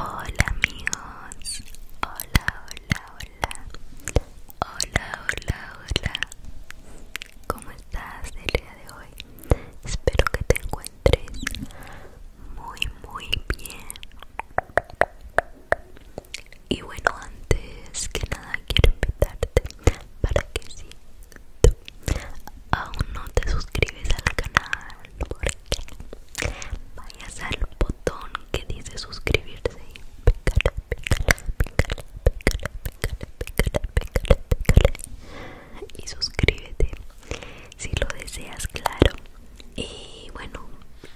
Hola amigos, hola, hola, hola, hola, hola, hola. ¿Cómo estás el día de hoy? Espero que te encuentres muy, muy bien. Y bueno, antes que nada quiero invitarte para que si tú aún no te suscribes al canal, por vayas al botón que dice suscribirse y y suscríbete si lo deseas, claro. Y bueno,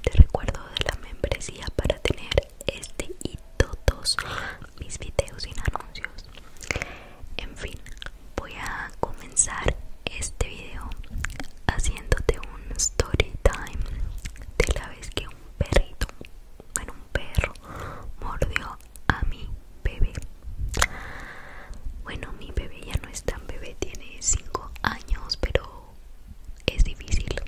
te recuerdo de la membresía para tener este y todos mis videos sin anuncios. En fin, voy a comenzar este video haciéndote un story time de la vez que un perrito, bueno un perro, mordió a mi bebé. Bueno, mi bebé ya no es tan bebé, tiene 5 años, pero es difícil.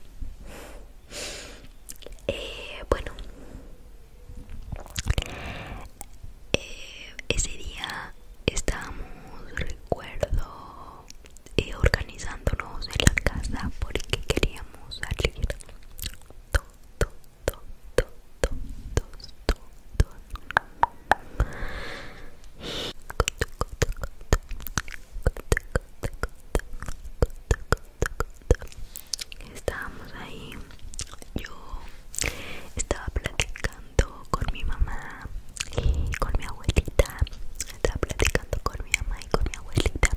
Eh, bueno, eh, ese día estábamos recuerdo eh, organizándonos en la casa porque queríamos salir Estábamos ahí yo estaba platicando con mi mamá y con mi abuelita. Estaba platicando con mi mamá y con mi abuelita.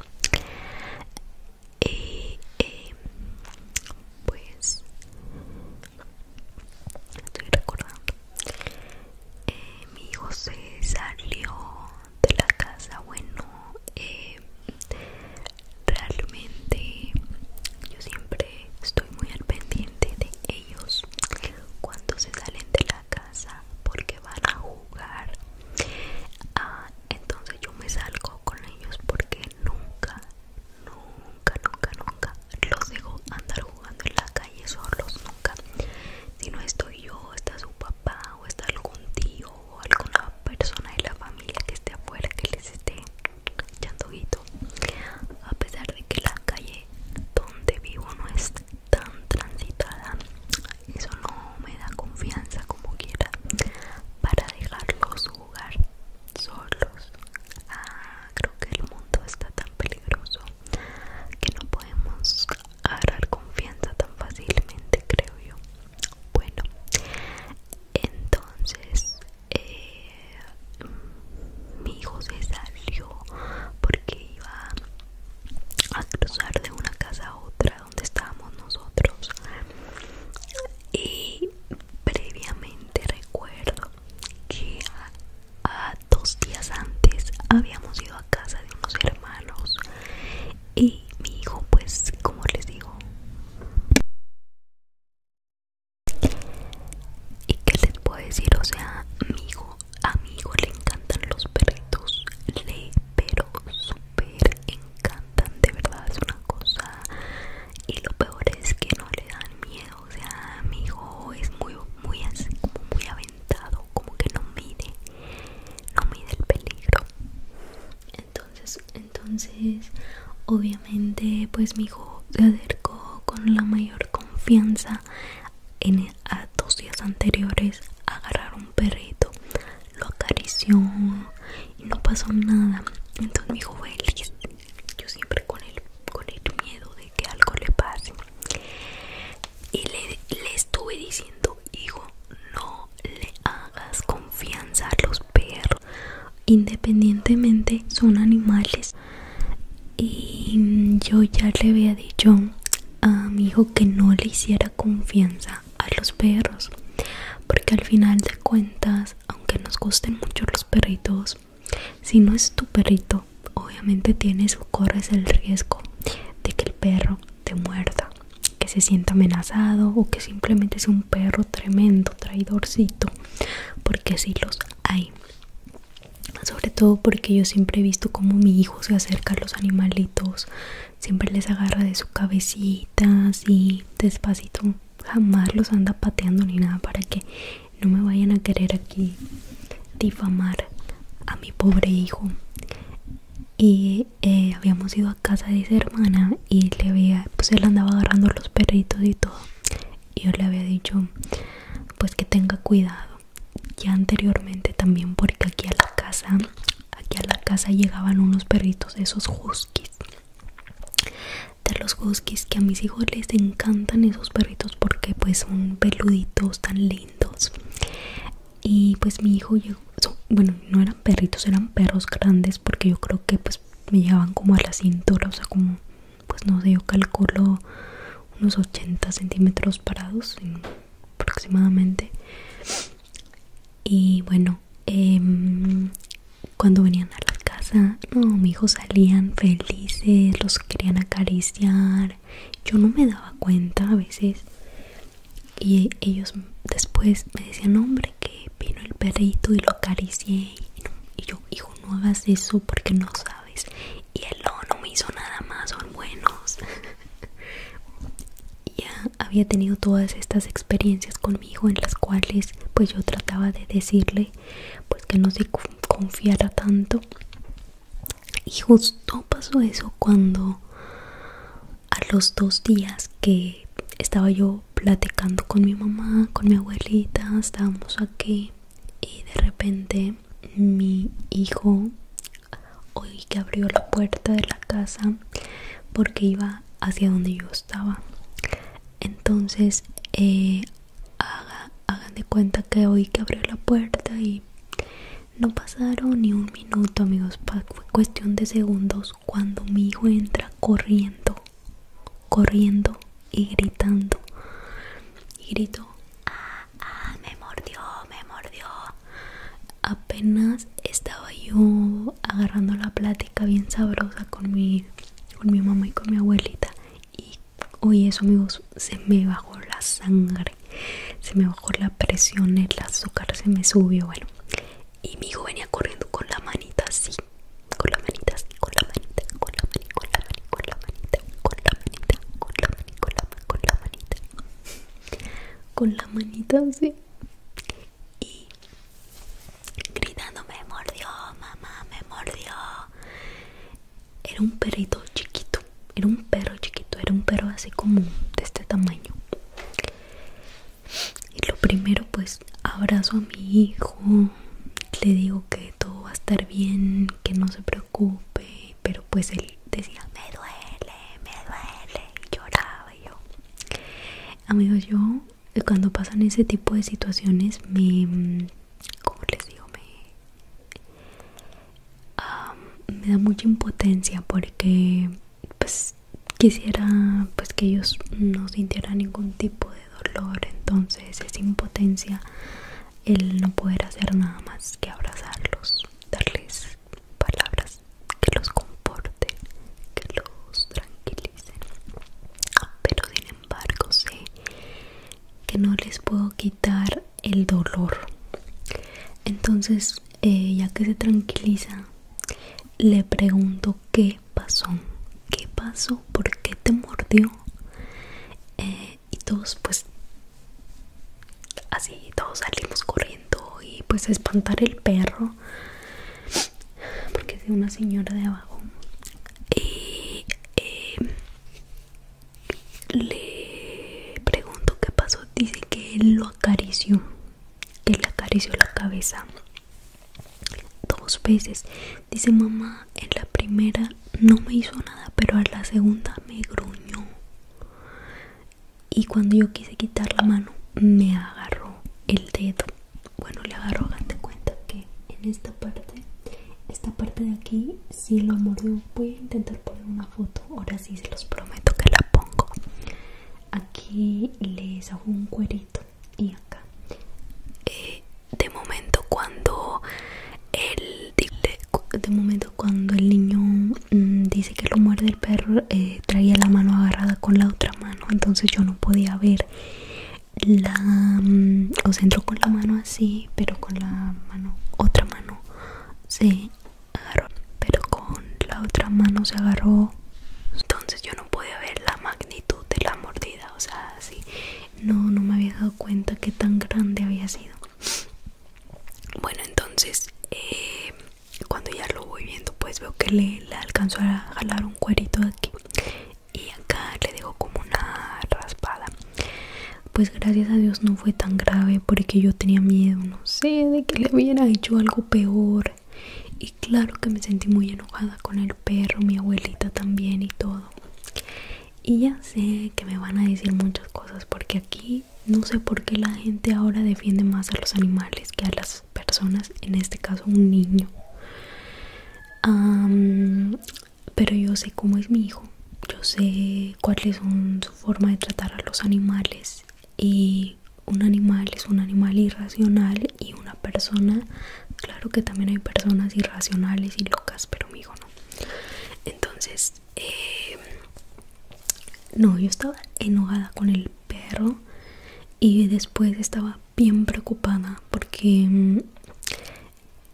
Y eh, pues estoy recordando. Eh, mi hijo se salió de la casa. Bueno, eh, realmente yo siempre estoy muy al pendiente de ellos cuando se salen de la casa porque van a jugar ah, entonces yo me salgo con ellos porque nunca nunca nunca nunca los dejo andar jugando en la calle solos nunca si no estoy yo está su papá o está algún tío o alguna persona de la familia que esté afuera que les esté Guito a pesar de que la calle donde vivo no es tan transitada eso no me da confianza como quiera para dejarlos jugar solos ah, creo que el mundo está tan peligroso que no podemos agarrar confianza tan fácilmente creo yo bueno, entonces eh, mi hijo se salió porque iba a cruzar de una casa a otra donde estábamos nosotros. Y previamente recuerdo que a dos días antes habíamos ido a casa de unos hermanos y mi, hijo pues como les digo y qué les puedo decir o sea mi hijo a le encantan los perritos le pero súper encantan de verdad es una cosa y lo peor es que no le dan miedo o sea mi hijo es muy muy así como muy aventado como que no mide no mide el peligro entonces entonces obviamente pues mi hijo se acercó con la mayor confianza en e, a dos días anteriores a agarrar un perrito lo acarició y no pasó nada entonces mi hijo fue que yo siempre con el con el miedo de que algo le pase y le estuve diciendo hijo no le hagas confianza a los perros independientemente son animales y yo ya le había dicho a mi hijo que no le hiciera confianza a los perros porque al final de cuentas aunque nos gusten mucho los perritos si no es tu perrito obviamente tienes o corres el riesgo de que el perro muerda, que se sienta amenazado o que simplemente es un perro tremendo, traidorcito, porque sí los hay. Sobre todo porque yo siempre he visto cómo mi hijo se acerca a los animalitos, siempre les agarra de su cabecita, así despacito, jamás los anda pateando ni nada para que no me vayan a querer aquí difamar a mi pobre hijo. Y eh, habíamos ido a casa de esa hermana y le había, pues él andaba agarrando los perritos y todo. Y yo le había dicho, pues que tenga cuidado. Ya anteriormente también, porque aquí a la casa, aquí a la casa llegaban unos perritos, esos huskies. De los huskies que a mis hijos les encantan esos perritos porque pues son peluditos tan lindos y pues mi hijo bueno no eran perritos eran perros grandes porque yo creo que pues me llevaban como a la cintura o sea como pues no sé yo calculo unos 80 centímetros parados aproximadamente y bueno em, cuando venían a la casa no mi hijo salían felices los querían acariciar yo no me daba cuenta a veces y ellos después me decían hombre que vino el perrito y lo acaricié y, yo hijo no hagas eso porque no sabes y el no, no me hizo nada más son buenos ya había tenido todas estas experiencias conmigo en las cuales pues yo trataba de decirle pues que no se confiara tanto y justo pasó eso cuando a los dos días que estaba yo platicando con mi mamá, con mi abuelita, estábamos aquí y de repente mi hijo oí que abrió la puerta de la casa porque iba hacia donde yo estaba. Entonces, eh, hagan de cuenta que oí que abrió la puerta y no pasaron ni un minuto, amigos, fue cuestión de segundos cuando mi hijo entra corriendo, corriendo y gritando. Y gritó, ah, ah, me mordió, me mordió. Apenas estaba yo agarrando la plática bien sabrosa con mi, con mi mamá y con mi abuelita. Y oye eso, amigos, se me bajó la sangre se me bajó la presión, el azúcar se me subió, bueno. Y mi hijo venía corriendo con la manita así, con la manita así, con la manita, con la manita, con la manita, con la manita, con la manita, con la manita, con la manita, con la manita, con la manita así. Y gritando me mordió, mamá, me mordió. Era un perrito chiquito, era un perro chiquito, era un perro así como de este tamaño. Y lo primero pues abrazo a mi hijo, le digo que todo va a estar bien, que no se preocupe, pero pues él decía, me duele, me duele, lloraba yo. Amigos, yo eh, cuando pasan ese tipo de situaciones me... Mm, ¿Cómo les digo? Me me da mucha impotencia porque pues quisiera pues que ellos no sintieran ningún tipo de dolor entonces es impotencia el no poder hacer nada más que abrazarlos darles palabras que los comporten, que los tranquilicen pero sin embargo sé que no les puedo quitar el dolor. Entonces, ya que se tranquiliza, le pregunto qué pasó, qué pasó, por qué te mordió. Eh, y todos, pues, así, todos salimos corriendo y pues a espantar el perro, porque es una señora de abajo. Y eh, le pregunto qué pasó. Dice que él lo acarició, Él le acarició la cabeza dos veces. Dice mamá, en la primera no me hizo nada, pero a la segunda me gruñó. Y cuando yo quise quitar la mano, me agarró el dedo. Bueno, le agarró, de cuenta que en esta parte esta parte de aquí si lo mordió. Voy a intentar poner una foto. Ahora sí se los prometo que la pongo. Aquí les hago un cuerito y acá. Eh, de momento cuando el de momento cuando el niño mm, dice que lo muerde el perro eh, traía la mano agarrada con la otra mano entonces yo no podía ver la mm, se entró con la mano así pero con la mano otra mano se agarró pero con la otra mano se agarró entonces yo no pude ver la magnitud de la mordida o sea así no no me había dado cuenta que tan grande había sido bueno entonces eh, cuando ya lo voy viendo pues veo que le, le alcanzó a jalar un cuerito de aquí y acá le digo como una raspada pues gracias a Dios no fue tan grave porque yo tenía miedo no sé de que le hubiera hecho algo peor y claro que me sentí muy enojada con el perro mi abuelita también y todo y ya sé que me van a decir muchas cosas porque aquí no sé por qué la gente ahora defiende más a los animales que a las personas, en este caso un niño pero yo sé cómo es mi hijo, yo sé cuál es su forma de tratar a los animales y un animal es un animal irracional y una persona, claro que también hay personas irracionales y locas, pero mi hijo no. Entonces, eh, no, yo estaba enojada con el perro y después estaba bien preocupada porque mm,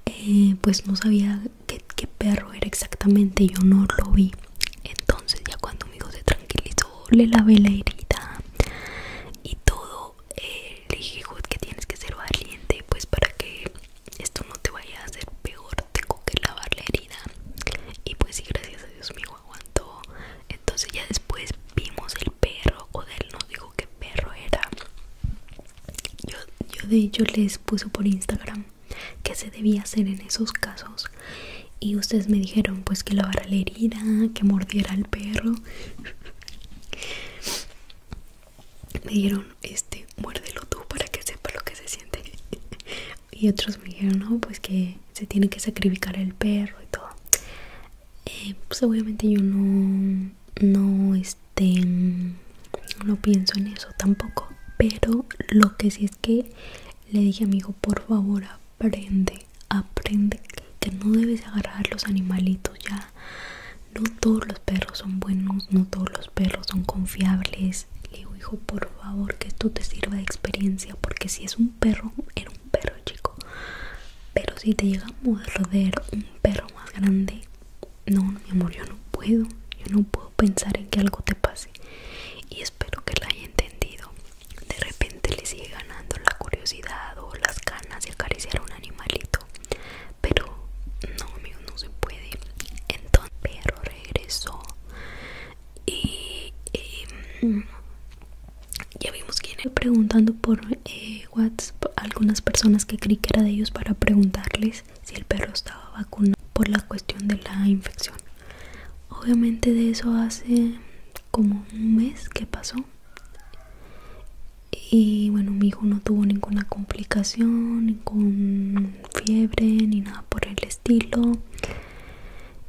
eh, pues no sabía qué, perro era exactamente, yo no lo vi. Entonces ya cuando mi hijo se tranquilizó, le lavé la herida y todo, eh, le dije que tienes que ser valiente, pues para que esto no te vaya a hacer peor, tengo que lavar la herida. Y pues sí, gracias a Dios mi hijo aguantó. Entonces ya después vimos el perro o él, no digo qué perro era yo, yo de hecho les puse por Instagram que se debía hacer en esos casos y ustedes me dijeron pues que lavara la herida que mordiera el perro me dijeron este muérdelo tú para que sepa lo que se siente y otros me dijeron no pues que se tiene que sacrificar el perro y todo eh, pues obviamente yo no no este no pienso en eso tampoco pero lo que sí es que le dije a mi hijo por favor aprende aprende que no debes agarrar los animalitos ya no todos los perros son buenos no todos los perros son confiables le digo hijo por favor que esto te sirva de experiencia porque si es un perro era un perro chico pero si te llega a morder un perro más grande, no, mi amor, yo no puedo. Yo no puedo pensar en que algo te pase. Y espero que lo haya entendido. De repente le sigue ganando la curiosidad o las ganas de acariciar a un animalito. Pero no, amigo, no se puede. Entonces, el perro regresó. y mm, ya vimos que Preguntando por eh, WhatsApp algunas personas que creí que era de ellos para preguntarles si el perro estaba vacunado por la cuestión de la infección. Obviamente de eso hace como un mes que pasó. Y bueno, mi hijo no tuvo ninguna complicación, ni con fiebre, ni nada por el estilo.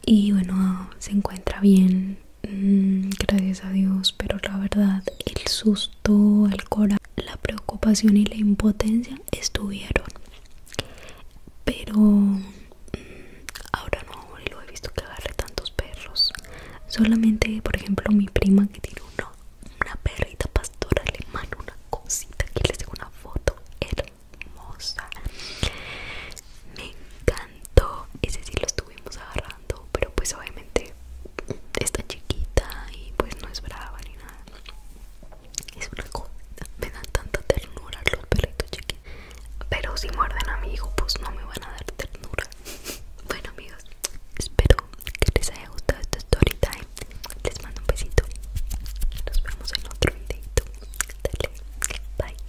Y bueno, se encuentra bien Mm, gracias a Dios, pero la verdad el susto, el cora la preocupación y la impotencia estuvieron. Pero mm, ahora no lo he visto que agarre tantos perros. Solamente, por ejemplo, mi prima que tiene una perrita pastora alemana, una cosita. Que le tengo una foto hermosa. Me encanta ese sí lo estuvimos agarrando pero pues obviamente está chiquita y pues no es brava ni nada es una cosa me dan tanta ternura los perritos chiquitos pero si muerden a mi hijo pues no me van a dar ternura bueno amigos espero que les haya gustado esta story time les mando un besito nos vemos en otro videito bye